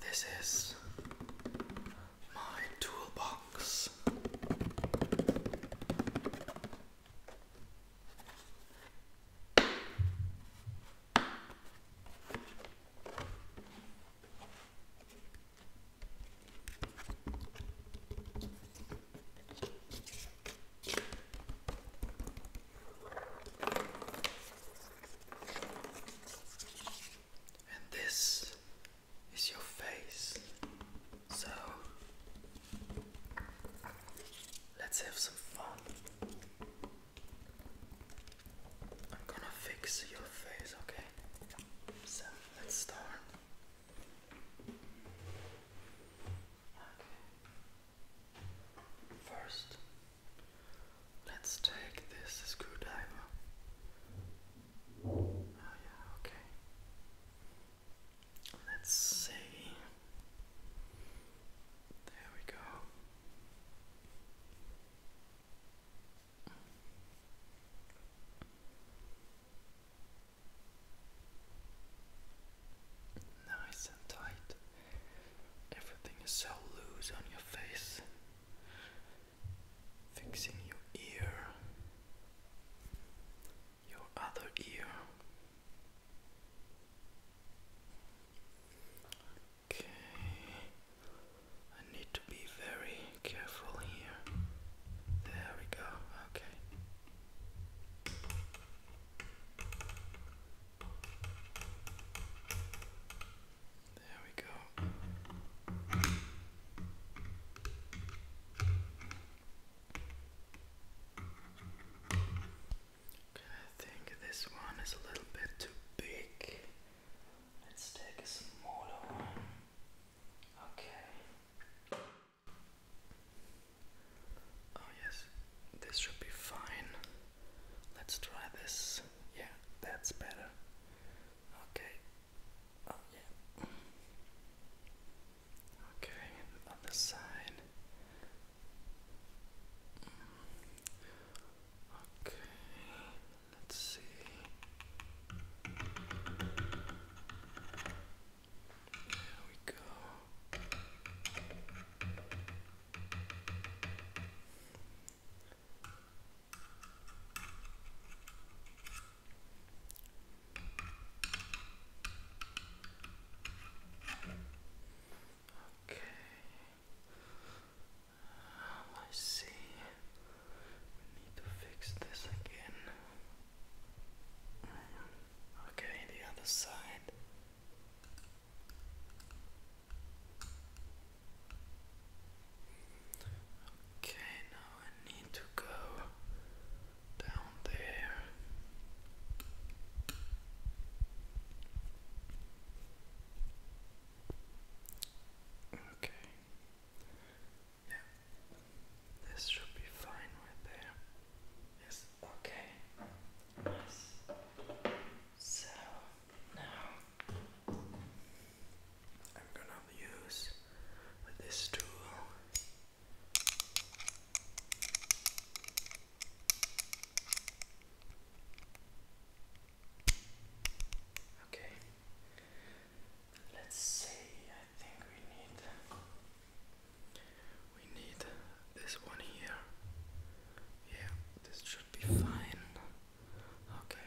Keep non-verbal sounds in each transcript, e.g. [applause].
This is my toolbox. And this is your face. So let's have some fun. I'm gonna fix your face, okay? So let's start. Okay. First, let's take this screwdriver. Oh, yeah, okay. Let's see. There we go. Nice and tight. Everything is so loose on your face. Fixing your ear, your other ear. Okay, I need to be very careful here. There we go, okay. There we go. Okay, I think this one is a little bit too big. Let's take a smaller one. Okay. Oh yes, this should be fine. Let's try this. Yeah, that's better. Okay. Oh yeah. Okay, on the side. Okay, let's see. There we go. Okay. I see. We need to fix this again. Okay, the other side. Okay, now I need to go down there. Okay. Yeah. This should be fine right there. Yes. Okay. So now I'm gonna use this tool. Okay. Let's see. I think we need we need this one here. Yeah, this should be fine. Okay.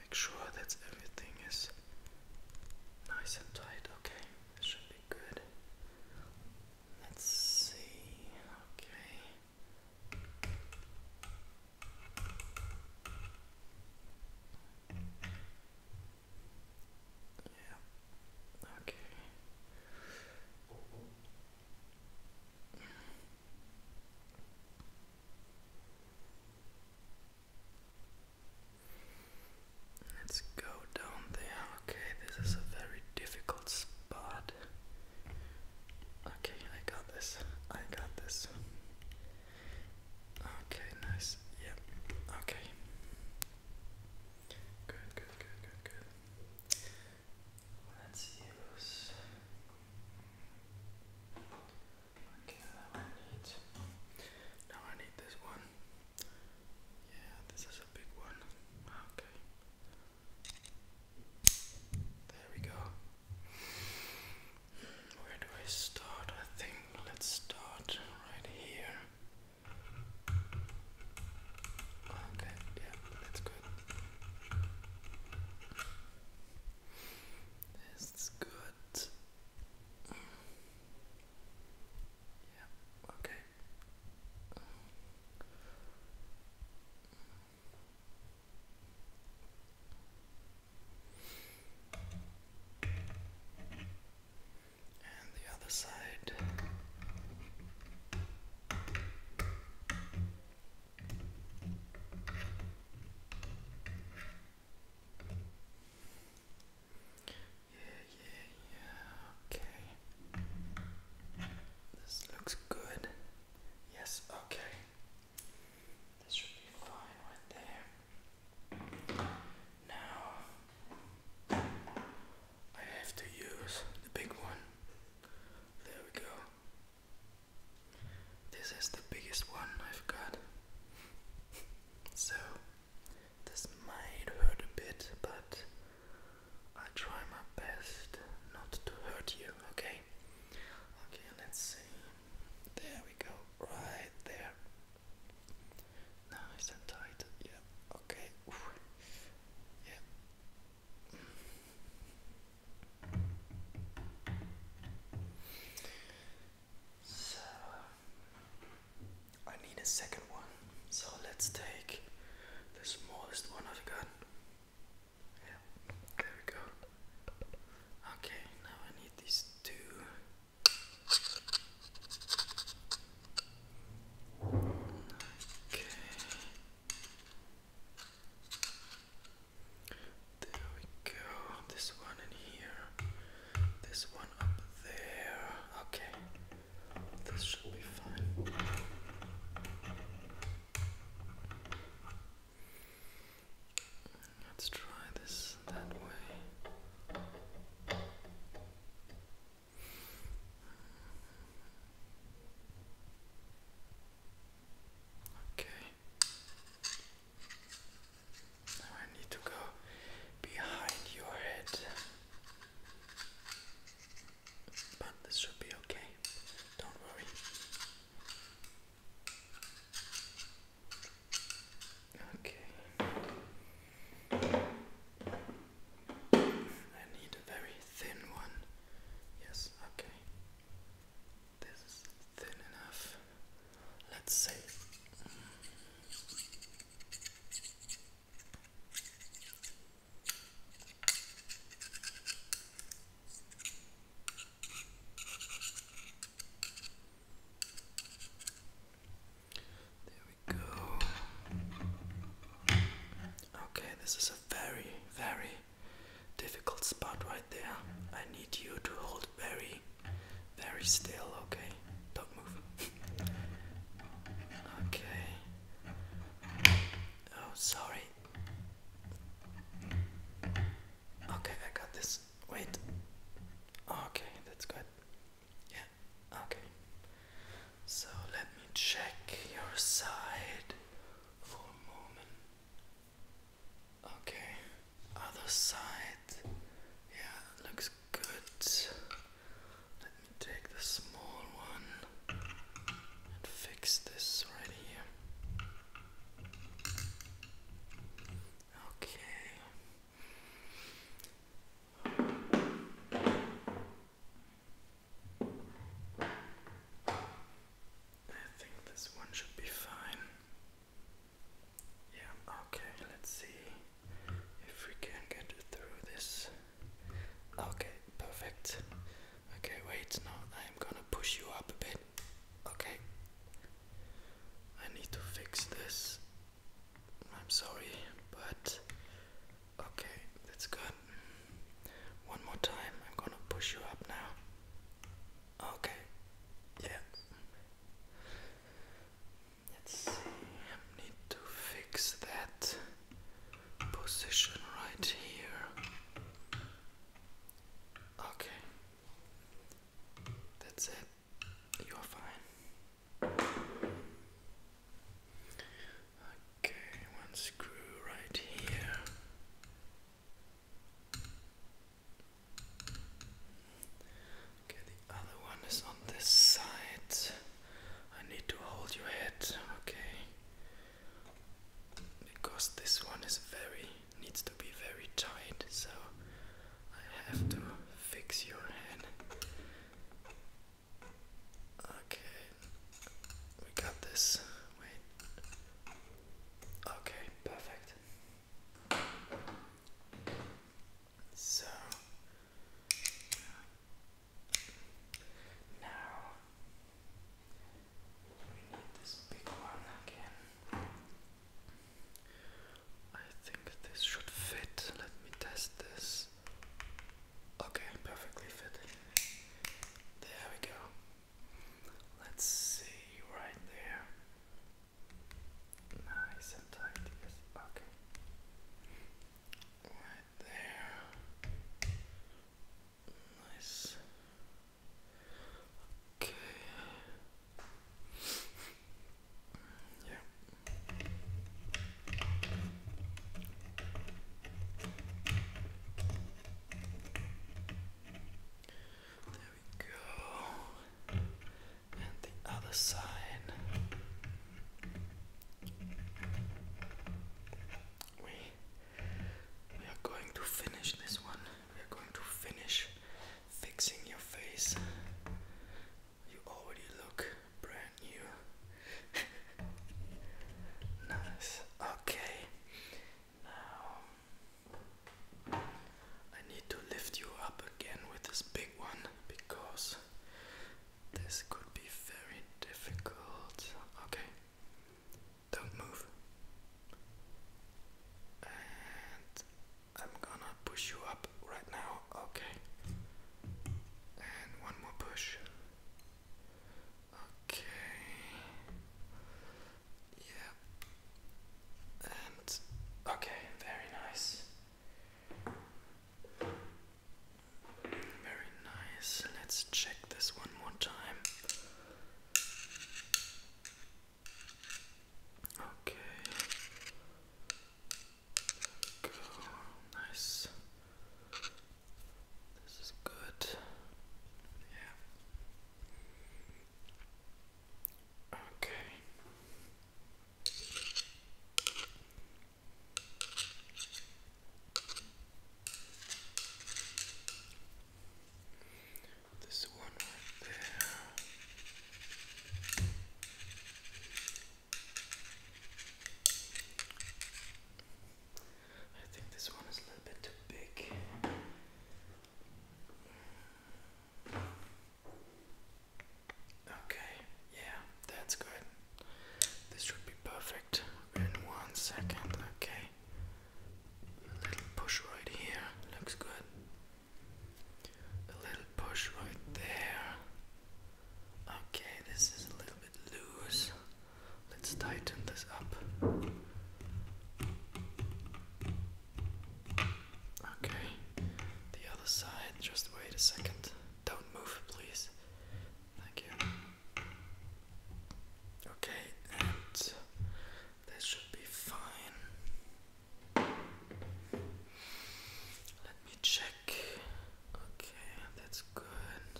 Make sure that everything is nice and tight. Okay, should be good. Let's see. Okay. Let's go down there. Okay, this is a very difficult spot. Okay, I got this. I got this. Okay, nice. Yep. Okay. Good, good, good, good, good. Let's use. Okay, that one Now I need this one. Yeah, this is a big one. Okay. There we go. Where do I start? I think let's start right here. Okay, yeah, that's good. This good. Yeah, okay. And the other side. Yeah, yeah, yeah, okay. This looks good. Yes, okay. This should be fine right there. Now I have to use the big one. There we go. This is the biggest one I've got. [laughs] So this might hurt a bit, but I try my best not to hurt you, okay? Okay, let's see. There we go, right there. Nice and tight, yeah, okay. Oof. So, I need a second one, so let's take the smallest one i yeah, there we go. Okay, now I need these two. Okay. There we go. This one in here. This one up there. Okay. This should be fine. Let's try this that way. Okay. Now I need to go behind your head. But this should be okay. Don't worry. Okay. I need a very thin one. Yes, okay. This is thin enough. Let's see. There we go. Okay, this is a very, very difficult spot right there. I need you to hold very, very still, okay? Don't move. [laughs] okay. Oh, sorry. Okay, I got this. Wait. Oh, okay, that's good. Yeah, okay. So let me check your side for a moment. Okay, other side. Yeah, looks good. Let me take the small one and fix this right here. Okay. I think this one should be fine. Yeah, okay, let's see if we can get through this. Okay, perfect. Okay, wait, now I'm gonna push you up a bit. Okay, I need to fix this. I'm sorry, but okay, that's good. One more time, I'm gonna push you up now. Okay, yeah. Let's see, need to fix that position right here. Okay, that's it. You're fine. Okay, one screw right here. Okay, the other one is on this side. I need to hold your head, okay? Because this one is very needs to be very tight, so I have to fix your head. Okay, we got this. Wait. Okay, perfect. So now we need this big one again. I think this should fit. Let me test this. Okay, perfectly fitting. There we go. Let's see right there. Nice and tight, yes. Okay right there. Nice. Okay. Yeah. There we go and the other side. We are going to finish this one. We are going to finish fixing your face. You already look brand new. [laughs] nice. Okay. Now I need to lift you up again with this big one because this could be very difficult. Okay, don't move. And I'm gonna push you up right now. Okay, and one more push. Okay, yep, and okay, very nice. Very nice. Let's check this one more time. Okay. go. Nice. This is good. Yeah. Okay. This one right there. I think this one is a little bit too big. Okay, yeah, that's good. This should be perfect in one second. Okay, a little push right here looks good. A little push right there. Okay, this is a little bit loose. Let's tighten this up. Okay, the other side, just wait a second. Don't move, please. Thank you. Okay, and this should be fine. Let me check. Okay, that's good.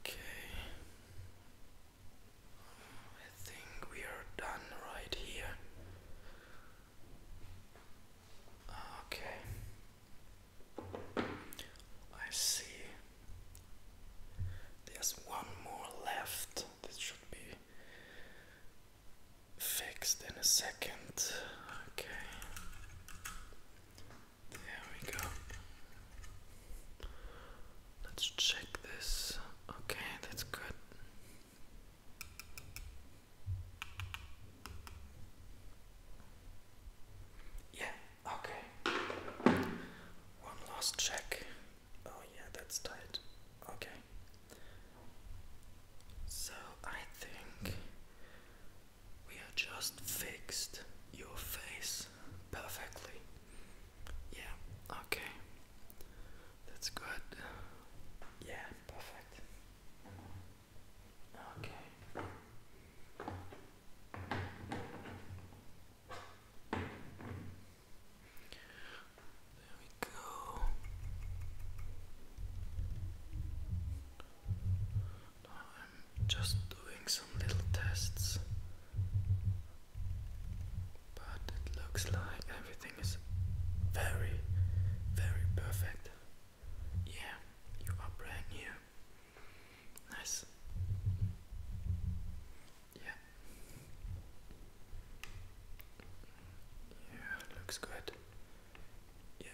Okay. I think we are done right here. Ah, okay. I see. There's one more left. This should be fixed in a second. Okay. There we go. Let's check this. Okay, that's good. Yeah, okay. One last check. Oh, yeah, that's tight. Okay. So I think we are just fixed your face perfectly. Yeah, okay. That's good. Yeah, perfect. Okay. There we go. I'm just doing some little tests but it looks like everything is very, very perfect. Yeah, you are brand new. Nice. Yeah. Yeah, it looks good. Yeah,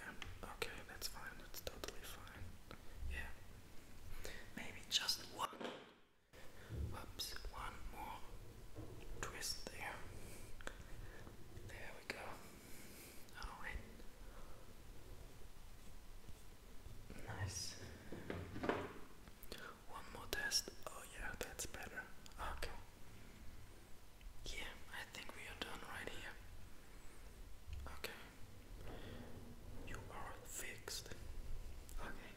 okay, that's fine, that's totally fine. Yeah. Maybe just one Whoops, one more twist there. There we go. Alright. Nice. One more test. Oh, yeah, that's better. Okay. Yeah, I think we are done right here. Okay. You are fixed. Okay.